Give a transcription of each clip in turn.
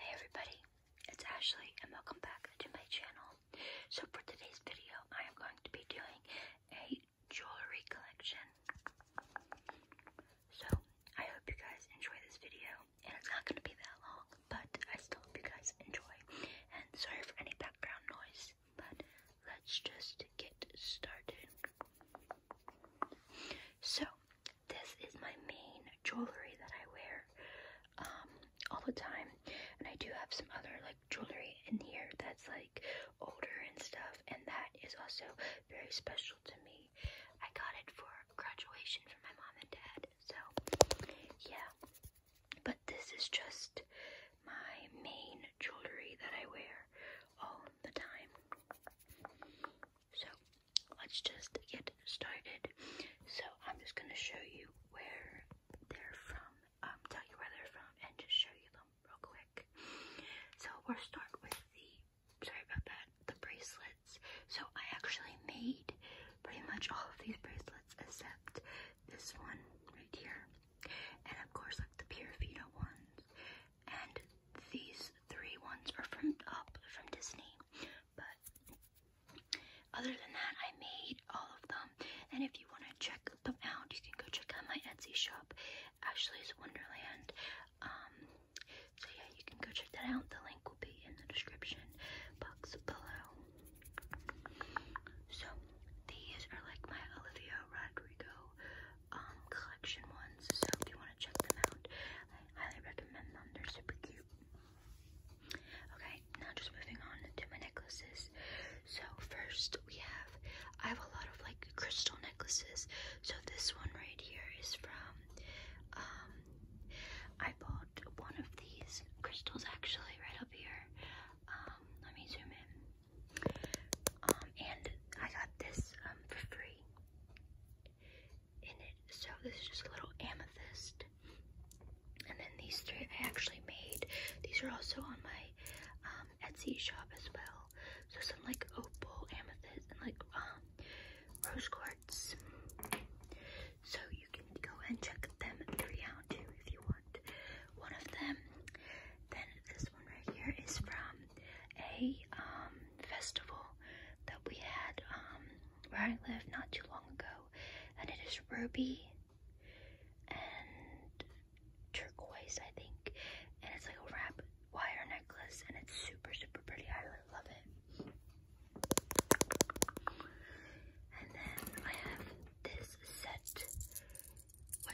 Hey everybody, it's Ashley and welcome back to my channel. So for today's video, I am going to be doing a jewelry collection. So I hope you guys enjoy this video, and it's not going to be that long, but I still hope you guys enjoy. And sorry for any background noise, but let's just get started. So this is my main jewelry that I wear um, all the time. And I do have some other like jewelry in here that's like older and stuff. And that is also very special to me. I got it for graduation from my mom and dad. So yeah. But this is just my main jewelry that I wear all the time. So let's just get started. So I'm just gonna show you where they're from, um, tell you where they're from, and just show you them real quick. So we'll start with the sorry about that, the bracelets. So I actually made pretty much all of these bracelets except this one right here, and of course like the Purefita ones, and these three ones are from up from Disney. But other than that, I made all of them. And if you want to check them out, you can go check out my Etsy shop, Ashley's Wonderland. Um, so yeah, you can go check that out. The link will be in the description box below. So these are like my Olivia Rodrigo um, collection ones, so if you want to check them out, I highly recommend them. They're super cute. Okay, now just moving on to my necklaces. So first we have, I have a lot of like crystal necklaces. So this one right here is from, um, I bought one of these crystals actually right up here. Um, let me zoom in. Um, and I got this um, for free in it. So this is just a little amethyst. And then these three I actually made. These are also on my um, Etsy shop as well. So some like opal, amethyst, and like rose quartz. So you can go and check them three out too if you want. One of them. Then this one right here is from a um, festival that we had um, where I lived not too long ago, and it is ruby and turquoise, I think, and it's like a wrap wire necklace, and it's super super pretty. I really love it. And then I have this set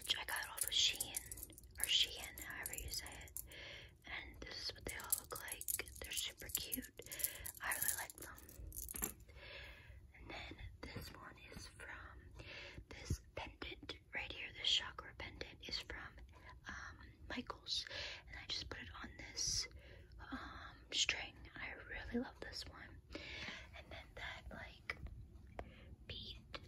which I got off of Shein, or Shein, however you say it. And this is what they all look like. They're super cute. I really like them. And then this one is from this pendant right here. This chakra pendant is from um, Michaels. And I just put it on this um, string. I really love this one. And then that, like,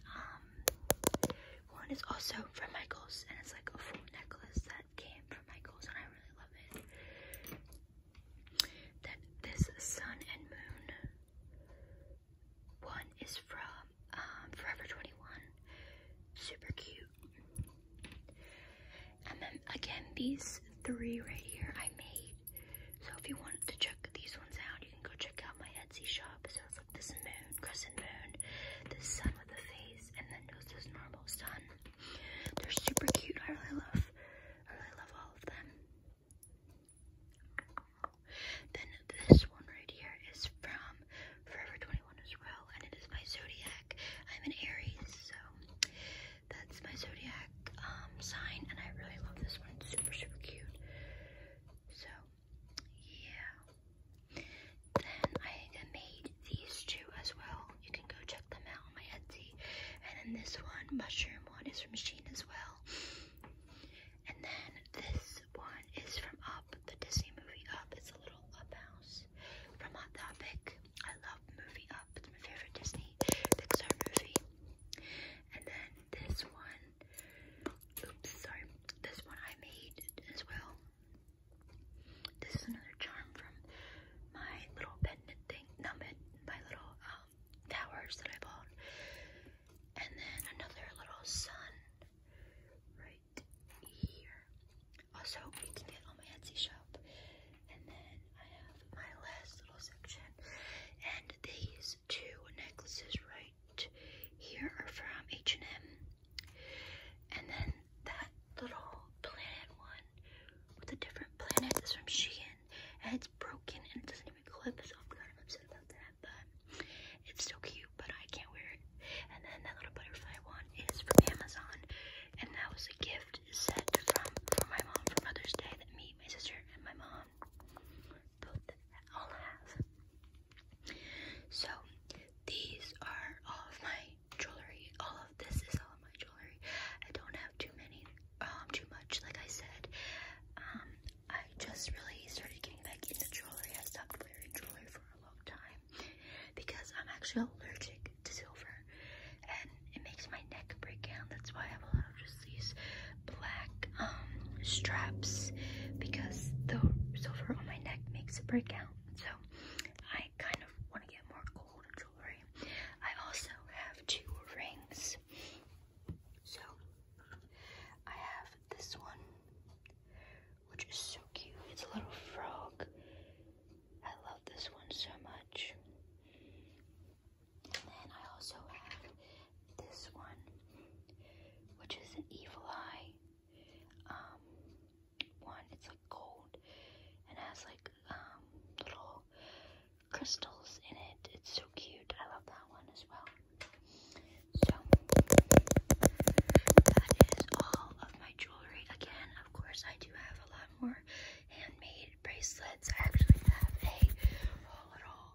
um, one is also from Michaels, and it's like a full necklace that came from Michaels, and I really love it. That this sun and moon one is from um, Forever 21, super cute. And then again, these three right here I made. So if you want to check these ones out, you can go check out my Etsy shop. So it's like this moon, crescent moon, the sun with the face, and then just this normal sun. They're super cute. I really love, I really love all of them. Then this one right here is from Forever 21 as well, and it is my zodiac. I'm an Aries, so that's my zodiac um, sign, and I really love this one. It's super, super cute. So, yeah. Then I made these two as well. You can go check them out on my Etsy. And then this one, mushroom one, is from Sheen as well. And then this one is from Up, the Disney movie Up. It's a little Up house from Hot Topic. I love Movie Up. It's my favorite Disney Pixar movie. And then this one, sorry. This one I made as well. This is another charm from my little pendant thing, not my, my little um, that I bought. And then another little sun right here. Also, you can get on my Etsy shop. And then I have my last little section. And these two necklaces right here are from H&M. And then that little planet one with a different planet is from Shein. And it's broken and it doesn't even clip, so I'm kind of upset about that. But it's so cute, but I can't wear it. And then that little butterfly one is from Amazon and that was a gift set from from my mom for Mother's Day that me, my sister, and my mom both all have. So these are all of my jewelry. All of this is all of my jewelry. I don't have too many, um, too much. Like I said, um, I just really started getting back into jewelry. I stopped wearing jewelry for long time because I'm actually allergic to silver and it makes my neck break out. That's why I have just these black um, straps because the silver on my neck makes it break out. So I kind of want to get more gold jewelry. I also have two rings. So I have this one which is so cute. It's a little frog. I love this one so much. And then I also have this one, which is an evil eye um, one. It's like gold and has like um, little crystals in it. It's so cute. I love that one as well. So that is all of my jewelry. Again, of course, I do have a lot more handmade bracelets. I actually have a little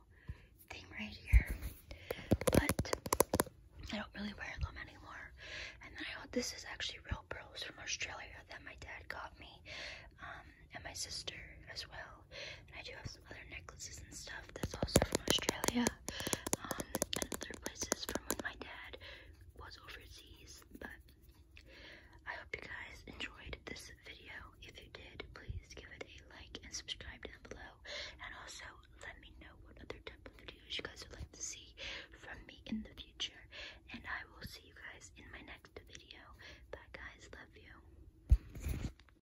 thing right here, but I don't really wear them anymore. And then I, this is actually real pearls from Australia that my dad got me, um, and my sister as well. And I do have other necklaces and stuff. That's also from Australia um, and other places from when my dad was overseas. But I hope you guys enjoyed this video. If you did, please give it a like and subscribe down below. And also let me know what other type of videos you guys would like to see from me in the future. And I will see you guys in my next video. Bye guys, love you.